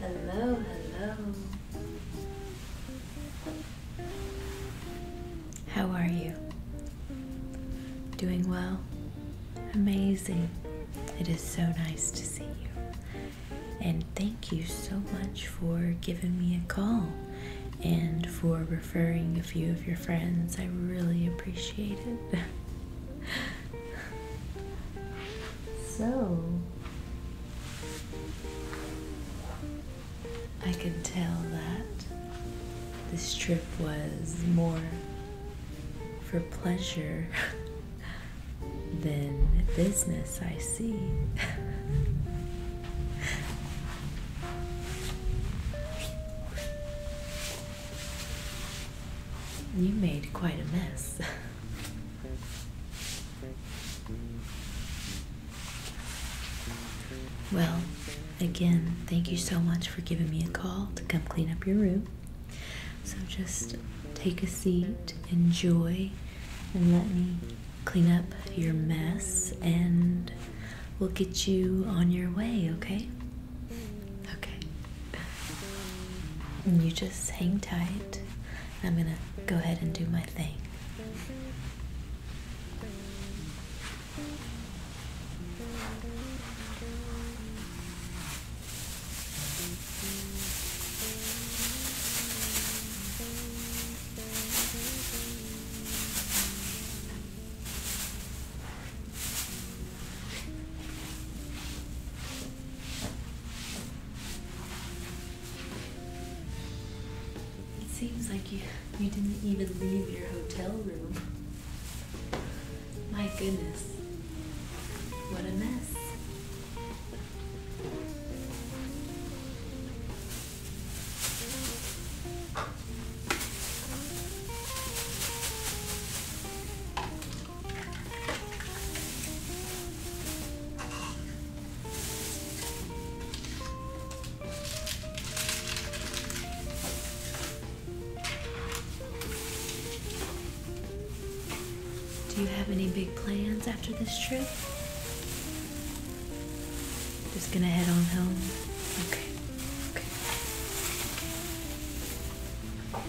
Hello, hello. How are you? Doing well? Amazing. It is so nice to see you. And thank you so much for giving me a call and for referring a few of your friends. I really appreciate it. so, I can tell that this trip was more for pleasure than business, I see. You made quite a mess. well, again, thank you so much for giving me a call to come clean up your room. So just take a seat, enjoy, and let me clean up your mess, and we'll get you on your way, okay? Okay. You just hang tight. I'm gonna go ahead and do my thing. It seems like you, you didn't even leave your hotel room. My goodness, what a mess. Do you have any big plans after this trip? Just gonna head on home. Okay. Okay.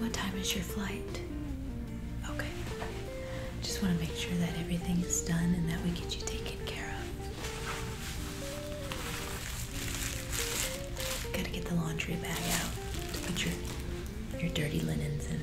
what time is your flight? Okay. Just want to make sure that everything is done and that we get you taken care of. Gotta get the laundry bag out to put your your dirty linens in.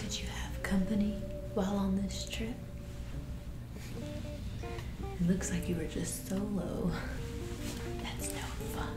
Did you have company while on this trip? It looks like you were just solo. That's no fun.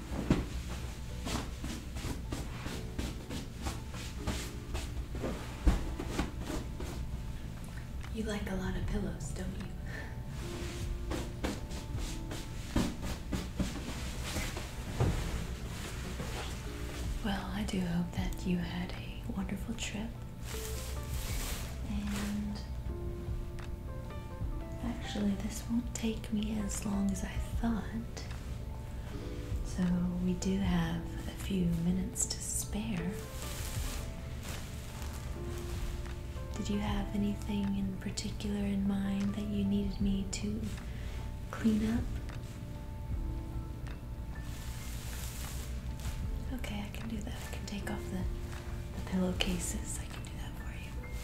You like a lot of pillows, don't you? Well, I do hope that you had a wonderful trip. And Actually, this won't take me as long as I thought. So, we do have a few minutes to spare. Did you have anything in particular in mind that you needed me to clean up? Okay, I can do that. I can take off the, pillowcases I can do that for you. Okay.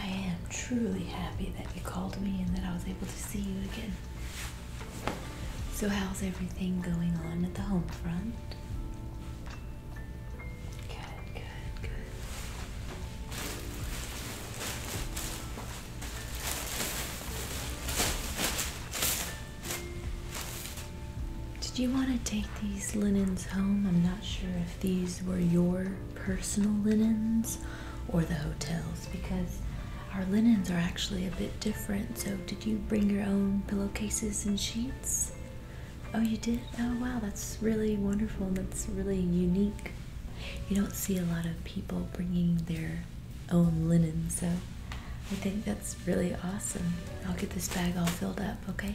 I am truly happy that you called me and that I was able to see you again. So, how's everything going on at the home front? Good, good, good. Did you want to take these linens home? I'm not sure if these were your personal linens or the hotel's because our linens are actually a bit different. So, did you bring your own pillowcases and sheets? Oh, you did? Oh, wow, that's really wonderful. That's really unique you don't see a lot of people bringing their own linen, so I think that's really awesome. I'll get this bag all filled up, okay?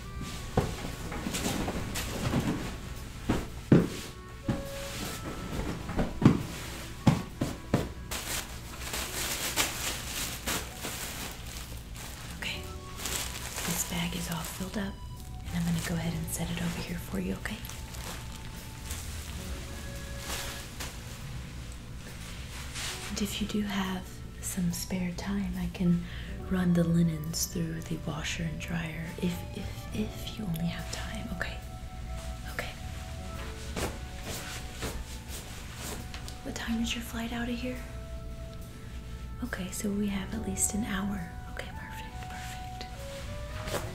Okay, this bag is all filled up, and I'm going to go ahead and set it over here for you, okay? And if you do have some spare time, I can run the linens through the washer and dryer if if if you only have time. Okay. Okay. What time is your flight out of here? Okay, so we have at least an hour. Okay, perfect, perfect.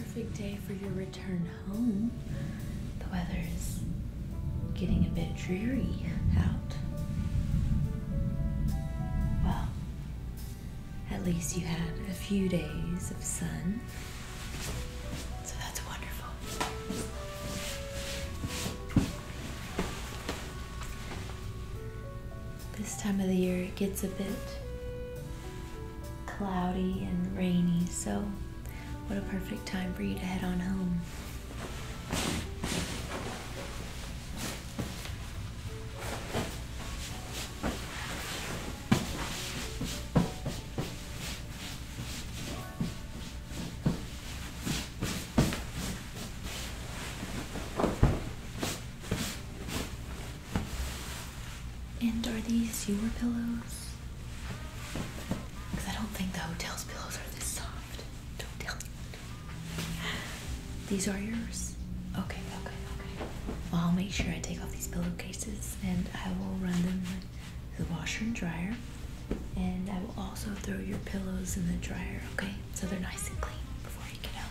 Perfect day for your return the weather is getting a bit dreary out. Well, at least you had a few days of sun. So that's wonderful. This time of the year it gets a bit cloudy and rainy, so what a perfect time for you to head on home. And are these your pillows? Because I don't think the hotel's pillows are this soft. Don't tell me. These are yours? Okay, okay, okay. Well, I'll make sure I take off these pillowcases and I will run them to the washer and dryer. And I will also throw your pillows in the dryer, okay? So they're nice and clean before you get out.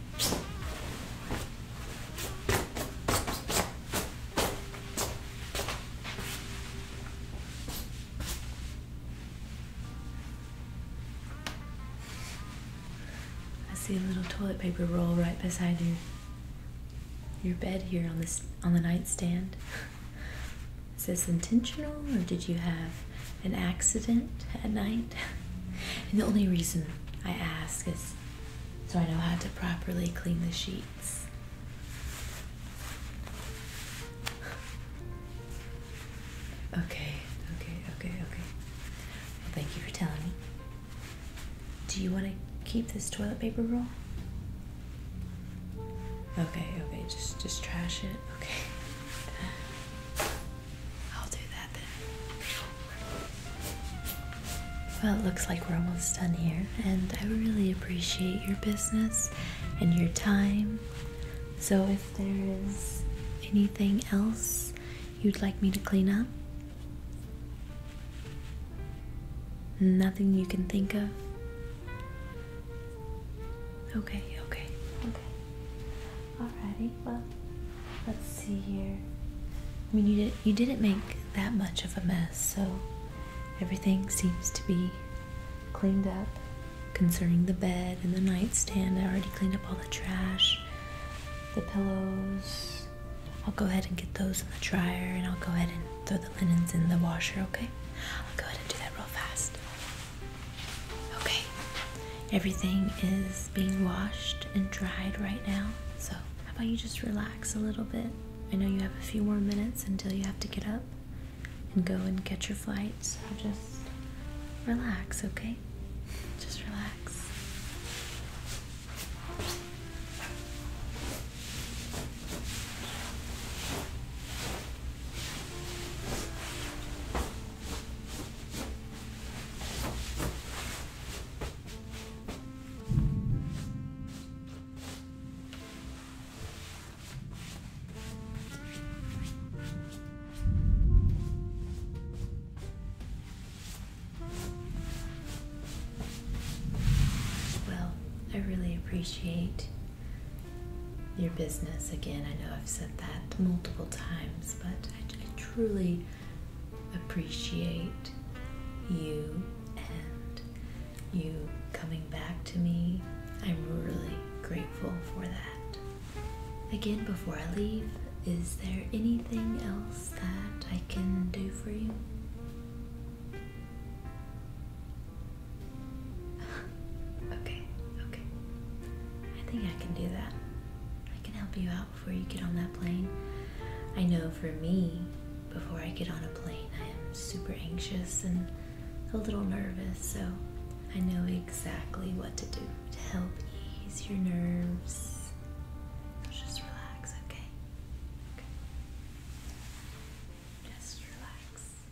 I see a little toilet paper roll right beside your your bed here on this on the nightstand. Is this intentional or did you have an accident at night. And the only reason I ask is so I know how to properly clean the sheets. Okay, okay, okay, okay. Well, thank you for telling me. Do you want to keep this toilet paper roll? Okay, okay, just just trash it. Okay. I'll do that then. Well, it looks like we're almost done here, and I really appreciate your business and your time. So, if there is anything else you'd like me to clean up, nothing you can think of. Okay, okay, okay. Alrighty, well, let's see here. I mean, you didn't make that much of a mess, so everything seems to be cleaned up. Concerning the bed and the nightstand, I already cleaned up all the trash, the pillows. I'll go ahead and get those in the dryer, and I'll go ahead and throw the linens in the washer. Okay, I'll go ahead and do that real fast. Okay everything is being washed and dried right now. So, how about you just relax a little bit? I know you have a few more minutes until you have to get up and go and get your flight. So, just relax, okay? Just relax. Well, I really appreciate your business. Again, I know I've said that multiple times, but I, truly appreciate you and you coming back to me. I'm really grateful for that. Again, before I leave, is there anything else that I can do for you? okay, okay. I think I can do that. I can help you out before you get on that plane. I know for me, before I get on a plane, I am super anxious and a little nervous, so I know exactly what to do to help ease your nerves. just relax, okay? okay. Just relax.